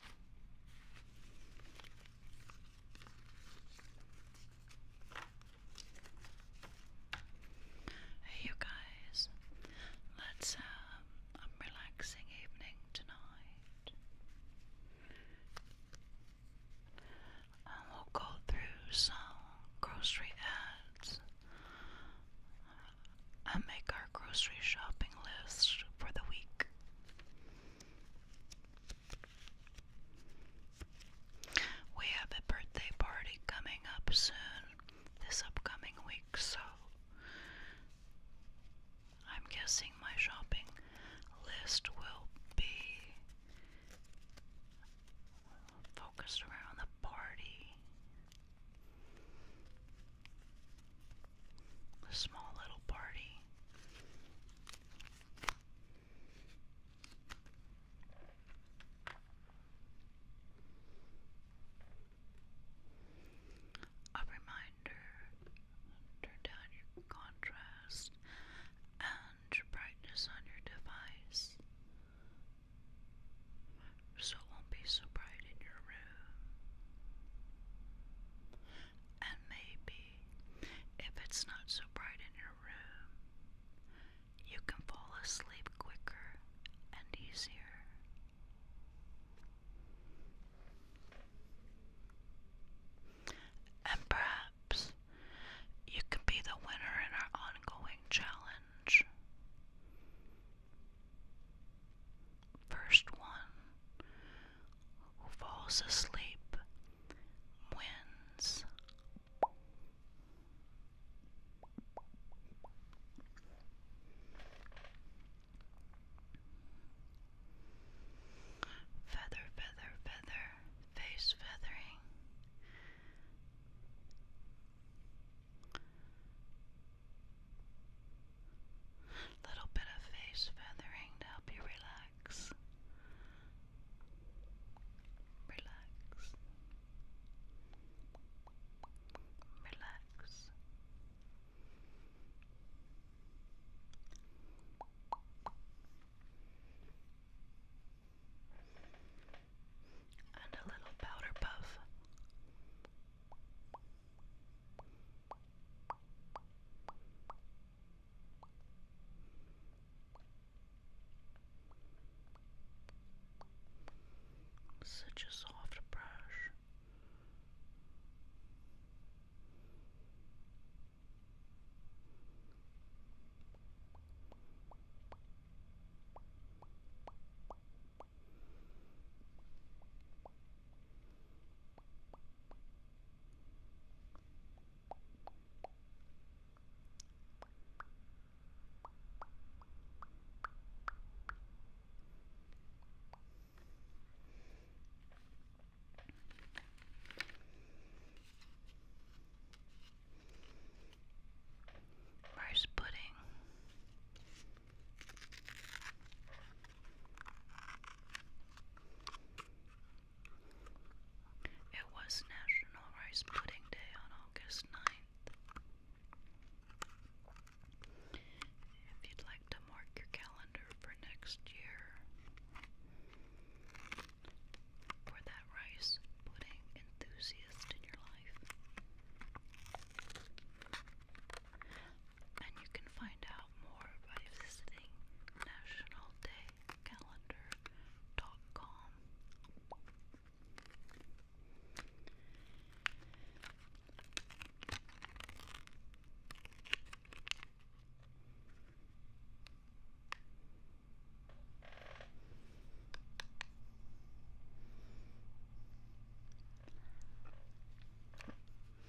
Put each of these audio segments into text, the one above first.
Hey, you guys, let's have um, relaxing evening tonight. And we'll go through some grocery ads and make our grocery shopping list for the week. We have a birthday party coming up soon this upcoming week, so I'm guessing my shopping list will be focused around the party. A small little party. A reminder turn down your contrast and brightness on your device so it won't be so bright in your room and maybe if it's not so bright in your room, you can fall asleep quicker and easier. And perhaps you can be the winner in our ongoing challenge. First one who falls asleep wins. Feather, feather, feather, face feathering little bit of face feathering to help you relax. Relax. Relax. And a little powder puff. Such a soft brush. Rice pudding. It was National Rice Pudding Day on August 9th. If you'd like to mark your calendar for next year for that rice pudding enthusiast in your life and you can find out more by visiting nationaldaycalendar.com.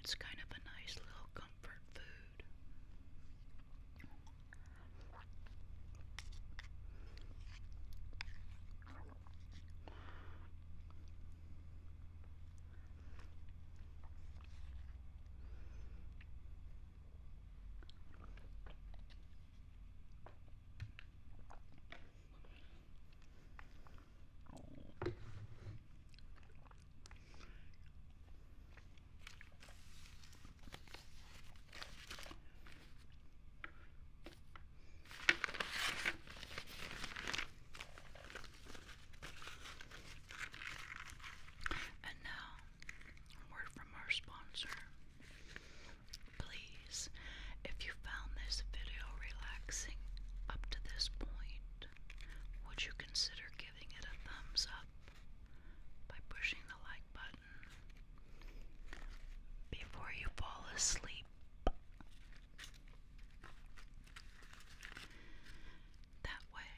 It's kind of a nice little comfort food. And now, word from our sponsor. Please, if you found this video relaxing up to this point, would you consider giving it a thumbs up by pushing the like button before you fall asleep? That way,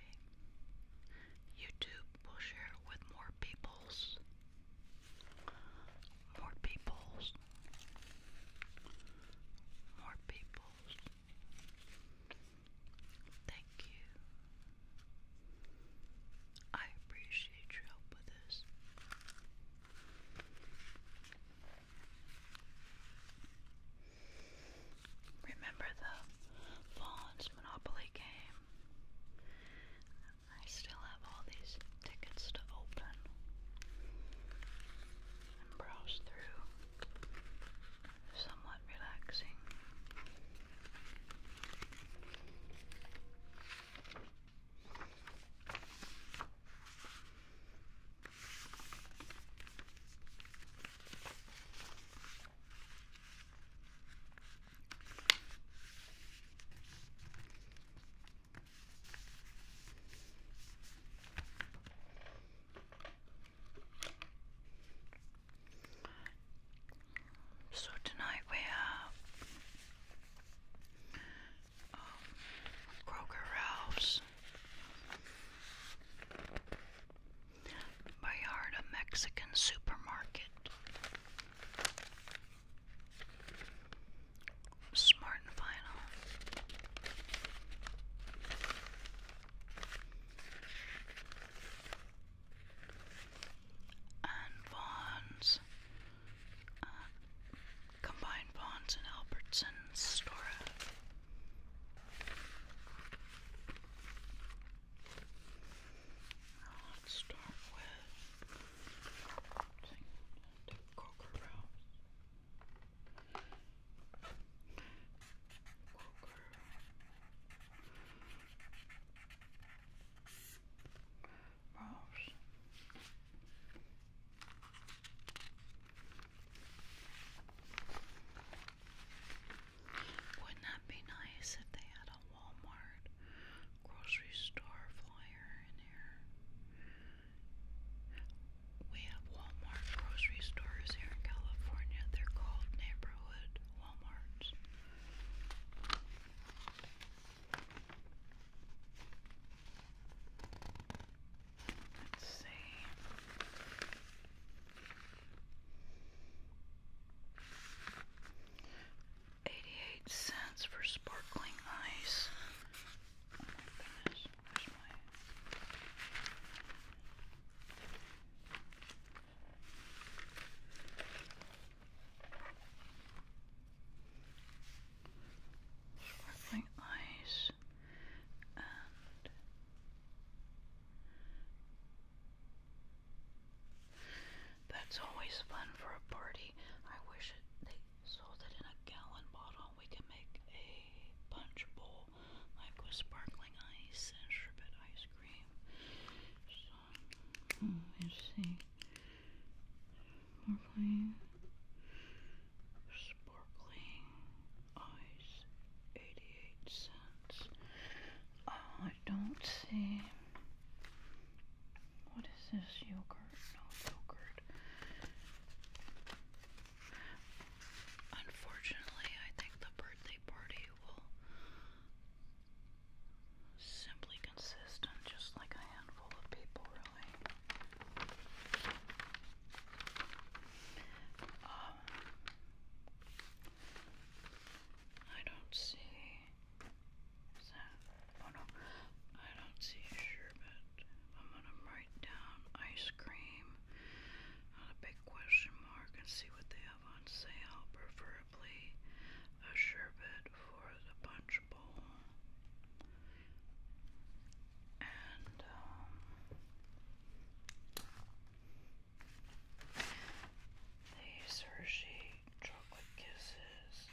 YouTube will share it with more peoples. More peoples. More peoples. Thank you. I appreciate your help with this. Remember the Vaughn's Monopoly game? I still have all these tickets to open and browse through somewhat relaxing. So tonight we have um, Kroger Ralph's Bayarda Mexican Supermarket. Smart and final and Vaughn's, uh, combined Vaughn's and Albertson's store. let's start with Coker Rouse. Wouldn't that be nice if they had a Walmart grocery store flyer in here? We have Walmart grocery stores here in California. They're called neighborhood Walmarts. Let's see. Eighty-eight cents for sparkling ice. Oh my goodness sparkling eyes and that's always fun for a party. I wish they sold it in a gallon bottle. We can make a punch bowl. I've got sparkling ice and sherbet ice cream. So, hmm, let's see. Sparkling, ice, 88 cents. Uh, I don't see. What is this? Yogurt? No, yogurt. Unfortunately, I think the birthday party will simply consist on just like a handful of people, really. Um, I don't see. Is that? Oh no, I don't see sherbet. I'm gonna write down ice cream a big question mark, and see what they have on sale. Preferably a sherbet for the punch bowl. And um, these Hershey chocolate kisses.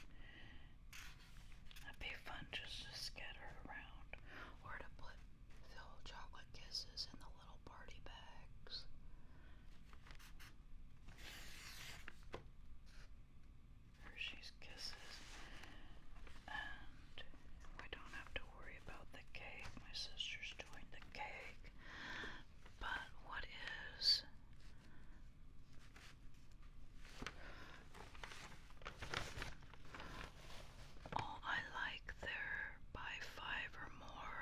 That'd be fun just to scatter around or to put Fill chocolate kisses in the little party bags. Hershey's Kisses. And we don't have to worry about the cake. My sister's doing the cake. But what is all oh, I like there, buy five or more.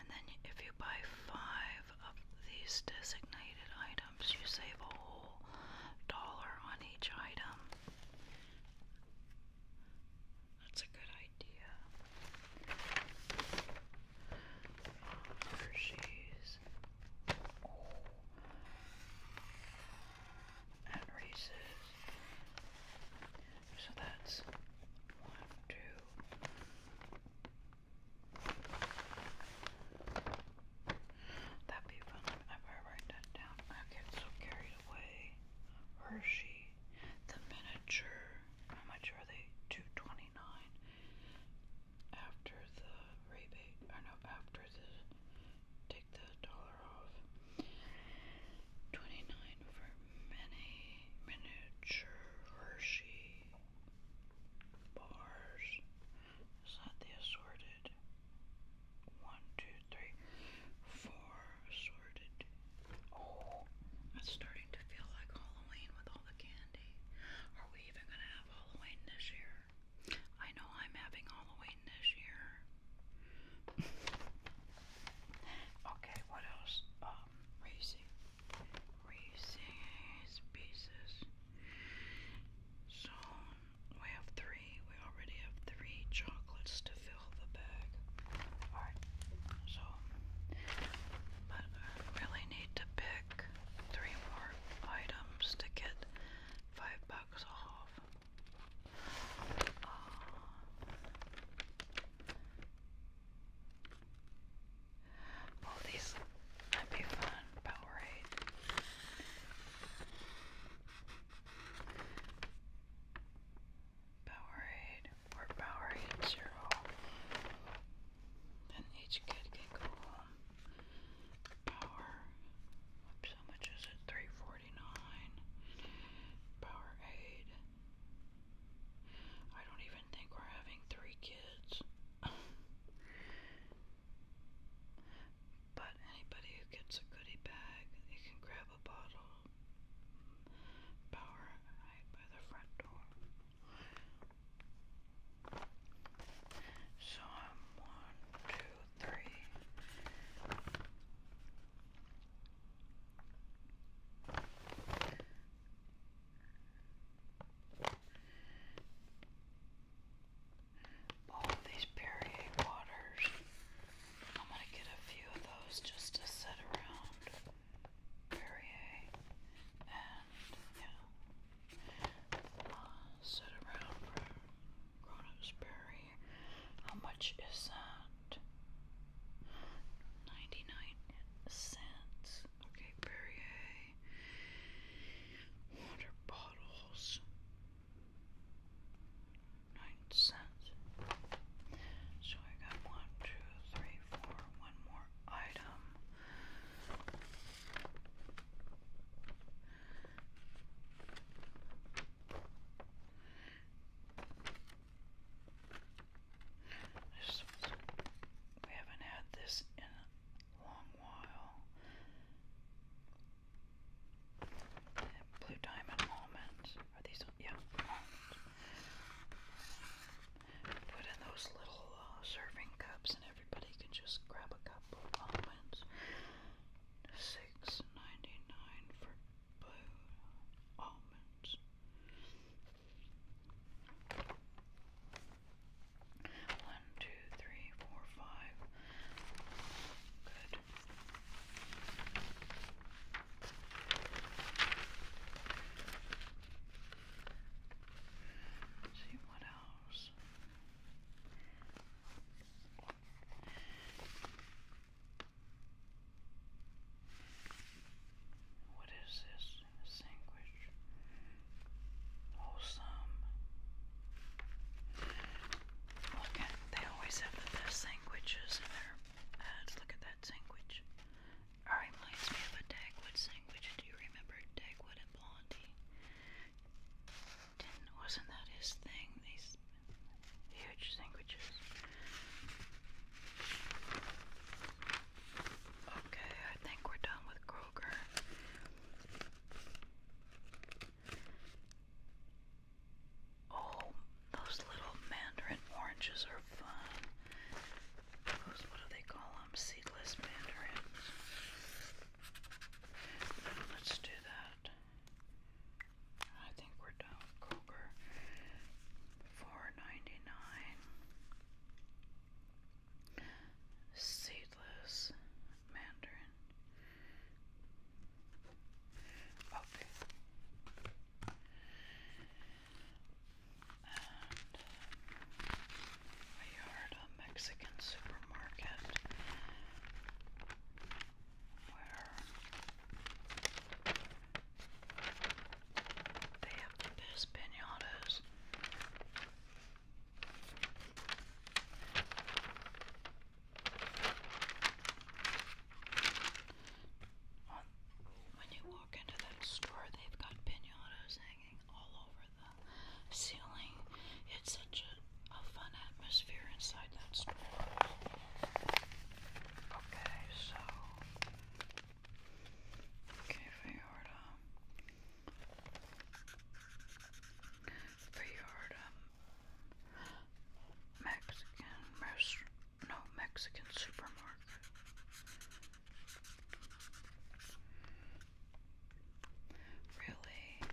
And then if you buy five of these designated items, you save a whole dollar on each item. That's a good idea. Hershey's. And Reese's. So that's one, two. That'd be fun if I write that down. I get so carried away. Hershey, the miniature. How much are they? Two twenty nine. After the rebate, or no, after the take the dollar Twenty nine for many miniature Hershey bars. Is that the assorted? One, two, three, four assorted. Oh, it's starting to feel like Halloween with all the candy. Are we even gonna have Halloween this year? I know I'm having Halloween this year. okay, what else? Um, racing. Racing pieces. So we have three. We already have three chocolates to fill the bag. Alright, so but I really need to pick three more items to get five bucks off. Oh. Well, these be fun, Powerade. Powerade or Powerade Zero. Then each kid can go home. Power. Oops, how much is it? Three forty nine. Powerade. I don't even think we're having three kids. but anybody who gets a goodie bag, they can grab a bottle power right by the front door. So I'm one, two, three. All these Perrier waters. I'm going to get a few of those just to set around Perrier and, you uh, know, around for Grown Ups Perrier. How much is that? 99 cents. Okay, Perrier. Water bottles. 9 cents. So I got one, two, three, four, one more item we haven't had this in a long while. Blue diamond almonds. Are these? Yeah, Put in those little uh, serving cups, and everybody can just grab a cup almonds. Six ninety nine for blue almonds. One, two, three, four, five. Good. Let's see what else. What is this? A sandwich. Wholesome. Look at they always have the best sandwiches in their ads. Look at that sandwich. reminds me of a Dagwood sandwich. Do you remember Dagwood and Blondie? did wasn't that his thing? huge sandwiches. Okay, I think we're done with Kroger. Oh, those little mandarin oranges are fun. Those, what do they call them? Seedless mandarins. Let's do that we're down Kroger. Four ninety nine. Seedless mandarin. Okay. And a yard a Mexican supermarket where they have the best pinatas. when you walk into that store, they've got pinatas hanging all over the ceiling. It's such a, a fun atmosphere inside that store. Okay, so Okay, Fiorda. Fiorda. Mexican rest no Mexican supermarket. Really?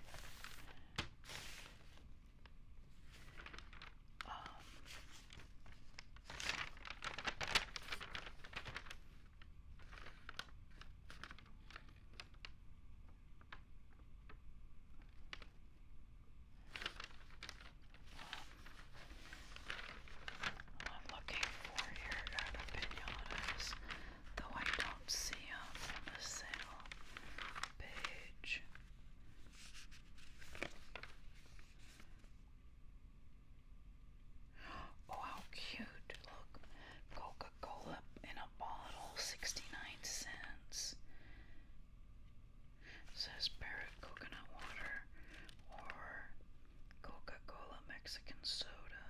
Um all I'm looking for here are the pinatas, though I don't see them on the sale page. Oh, how cute! Look, Coca Cola in a bottle, 69 cents. says Parrot water or Coca Cola Mexican soda.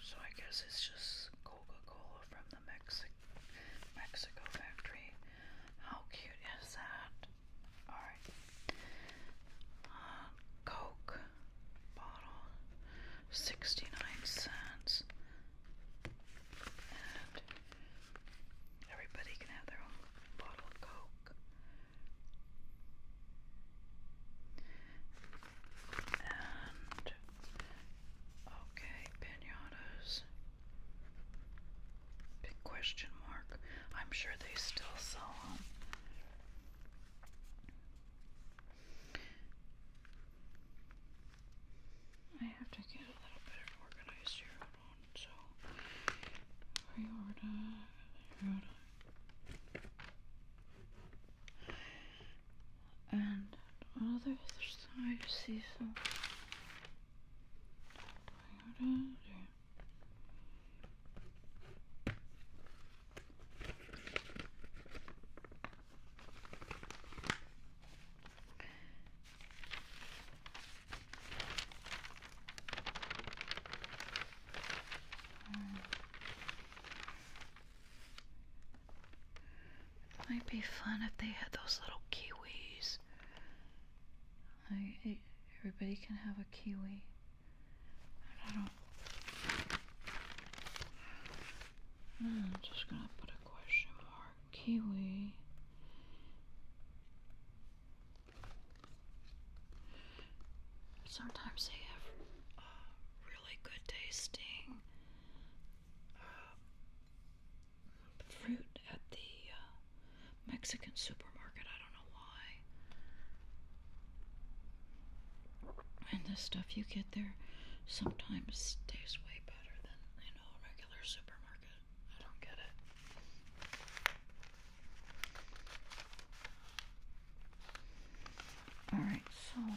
So I guess it's just Coca Cola from the Mexico Mexico factory. How cute is that? Alright. Um, Coke bottle, 69 cents. And everybody can have their own bottle of Coke. And okay, pinatas. Big question mark. I'm sure they still sell them. I have to get a little bit organized here. So, reorder, reorder. And on the other side, see some might be fun if they had those little kiwis everybody can have a kiwi. I am hmm, just gonna put a question mark. Kiwi. Sometimes they have a uh, really good tasting uh, fruit at the uh, Mexican supermarket. I don't know why. And the stuff you get there sometimes tastes way better than, you a regular supermarket. I don't get it. Alright, so let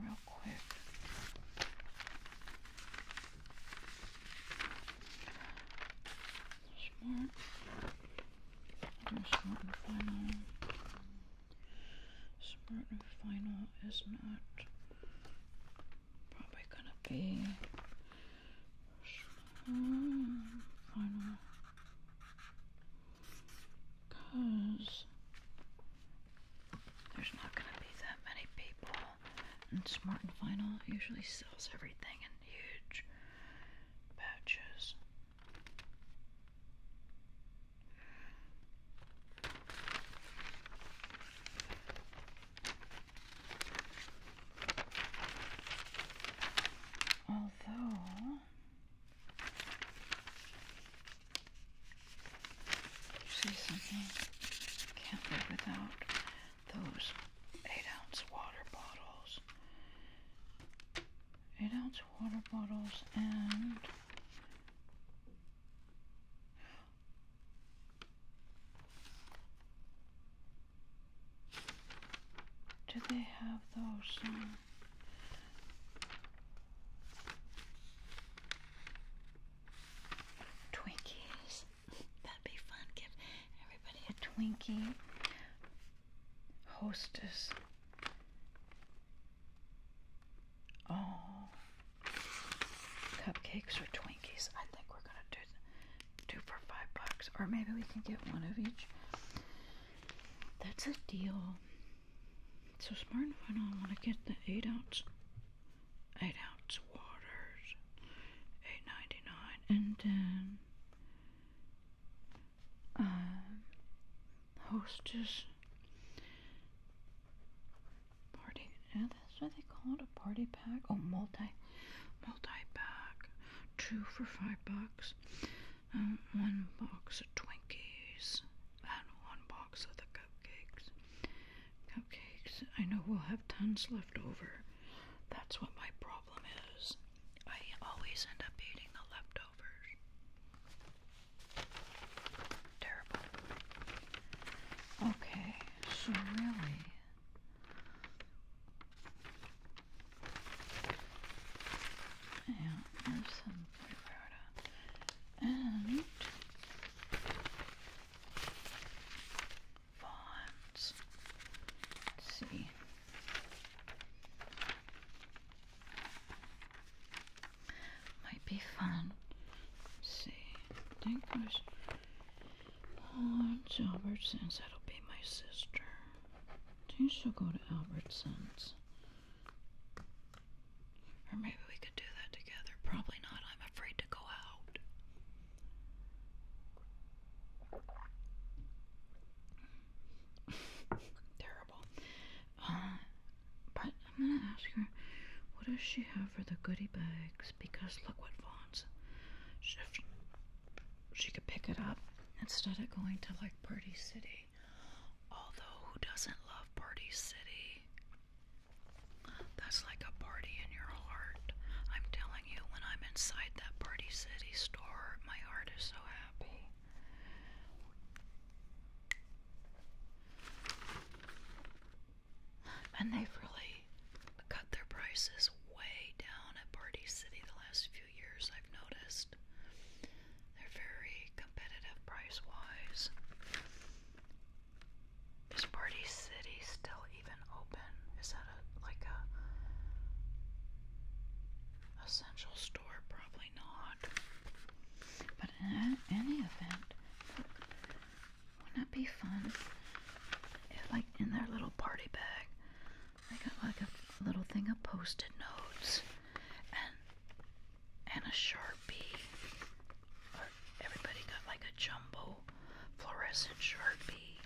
real quick. Smart. Smart final. Smart final is not probably gonna be smart final because there's not going to be that many people. And Smart and Final usually sells everything in huge batches. Although See something? Can't live without those eight ounce water bottles. Eight ounce water bottles and do they have those um, Twinkies. That'd be fun. Give everybody a Twinkie. Hostess. Oh. Cupcakes or Twinkies. I think we're gonna do two for five bucks. Or maybe we can get one of each. That's a deal so smart and final. I want to get the 8 ounce, 8 ounce waters, eight ninety nine, and then um, hostess party. Yeah, that's what they call it, a party pack. Oh, multi, multi pack, two for five bucks. Um, one box of Twinkies and one box of the cupcakes. Cupcakes, I know we'll have tons left over. That's what my problem is. I always end up eating the leftovers. Terrible. Okay, so really. Yeah, there's some fruit powder and bonds. Let's see. Might be fun. see. I think there's Lawrence Albertsons. That'll be my sister. Do you still go to Albertsons. Or maybe we could do that together. Probably not. I'm afraid to go out. Terrible. Uh, but I'm gonna ask her, what does she have for the goodie bags? Because look what Vaughn's. She, she could pick it up instead of going to like Party City. Although, who doesn't love Party City? That's like a party in your heart. I'm telling you, when I'm inside that Party City store, my heart is so happy. And they've really cut their prices way down at Party City the last few years, I've noticed. They're very competitive price wise. Is Party City still even open? Is that a like a essential store? Probably not. But in any event, wouldn't that be fun? like in their little party bag, they got like a little thing of post-it notes and and a sharpie. everybody got like a jumbo fluorescent sharpie.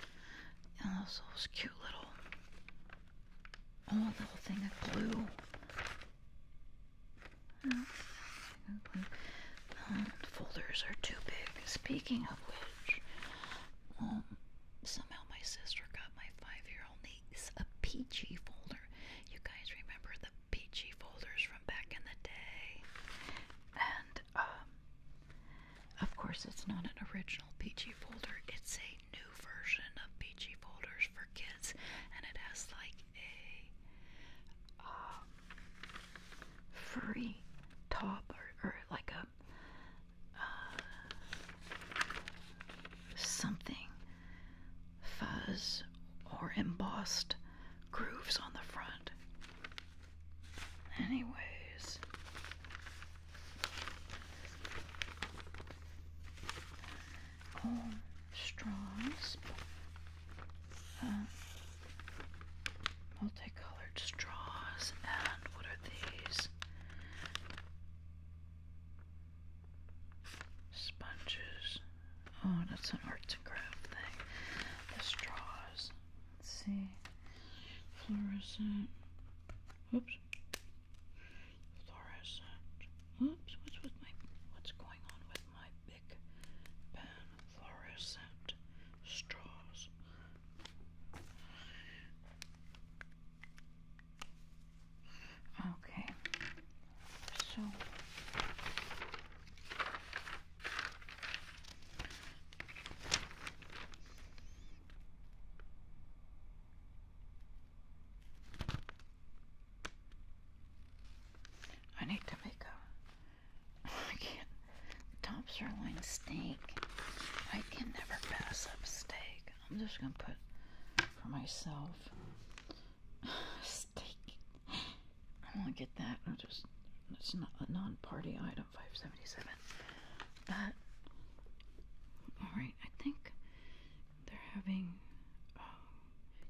And also this cute little oh little thing of glue. Um, uh, folders are too big. Speaking of which, um, somehow my sister got my five-year-old niece a peachy folder. You guys remember the peachy folders from back in the day. And, um, of course, it's not an original peachy folder, it's a new version of peachy folders for kids, and it has like a um, free top or, like a uh, something fuzz or embossed grooves on the front. Anyways, oh, straws, uh, multicolored straws, and what are these? Sponges, Oh, that's an art to craft thing. The straws. Let's see. Fluorescent. Oops. Fluorescent. Oops. What's with my? What's going on with my big pen? Fluorescent straws. Okay so I need to make a I can't top sirloin steak. I can never pass up steak. I'm just gonna put for myself Steak. I gonna get that. I'll just. It's not a non-party item. Five seventy-seven. But all right, I think they're having um,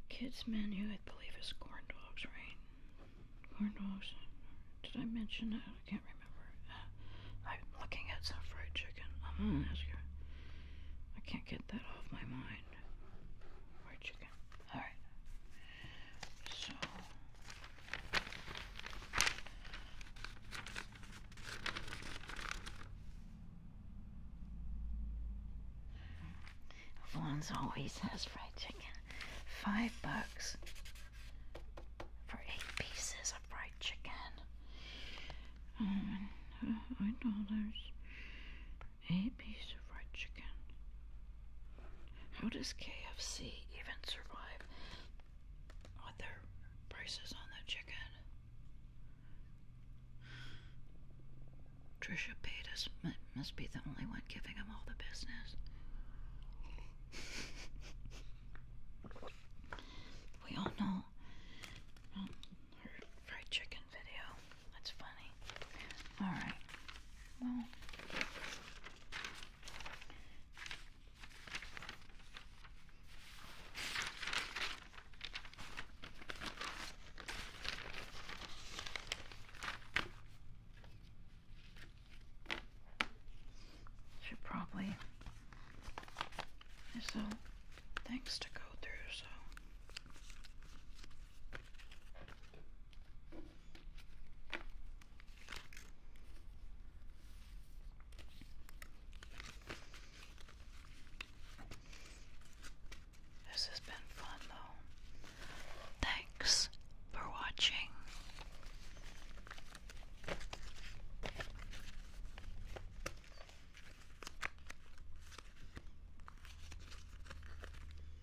kids menu. I believe is corn dogs, right? Corn dogs. Did I mention that? I can't remember. Uh, I'm looking at some fried chicken. I'm gonna ask you. I can't get that off my mind. Fried chicken. Okay. All right. So Alonzo always has fried chicken. Five bucks for eight pieces of fried chicken. Um, five dollars a piece of fried chicken. How does KFC even survive with their prices on the chicken? Trisha Paytas must be the only one giving him all the business. we all know um, fried chicken video. That's funny. Alright. Well. Should probably. There's so things to go through, so this has been fun though. Thanks for watching.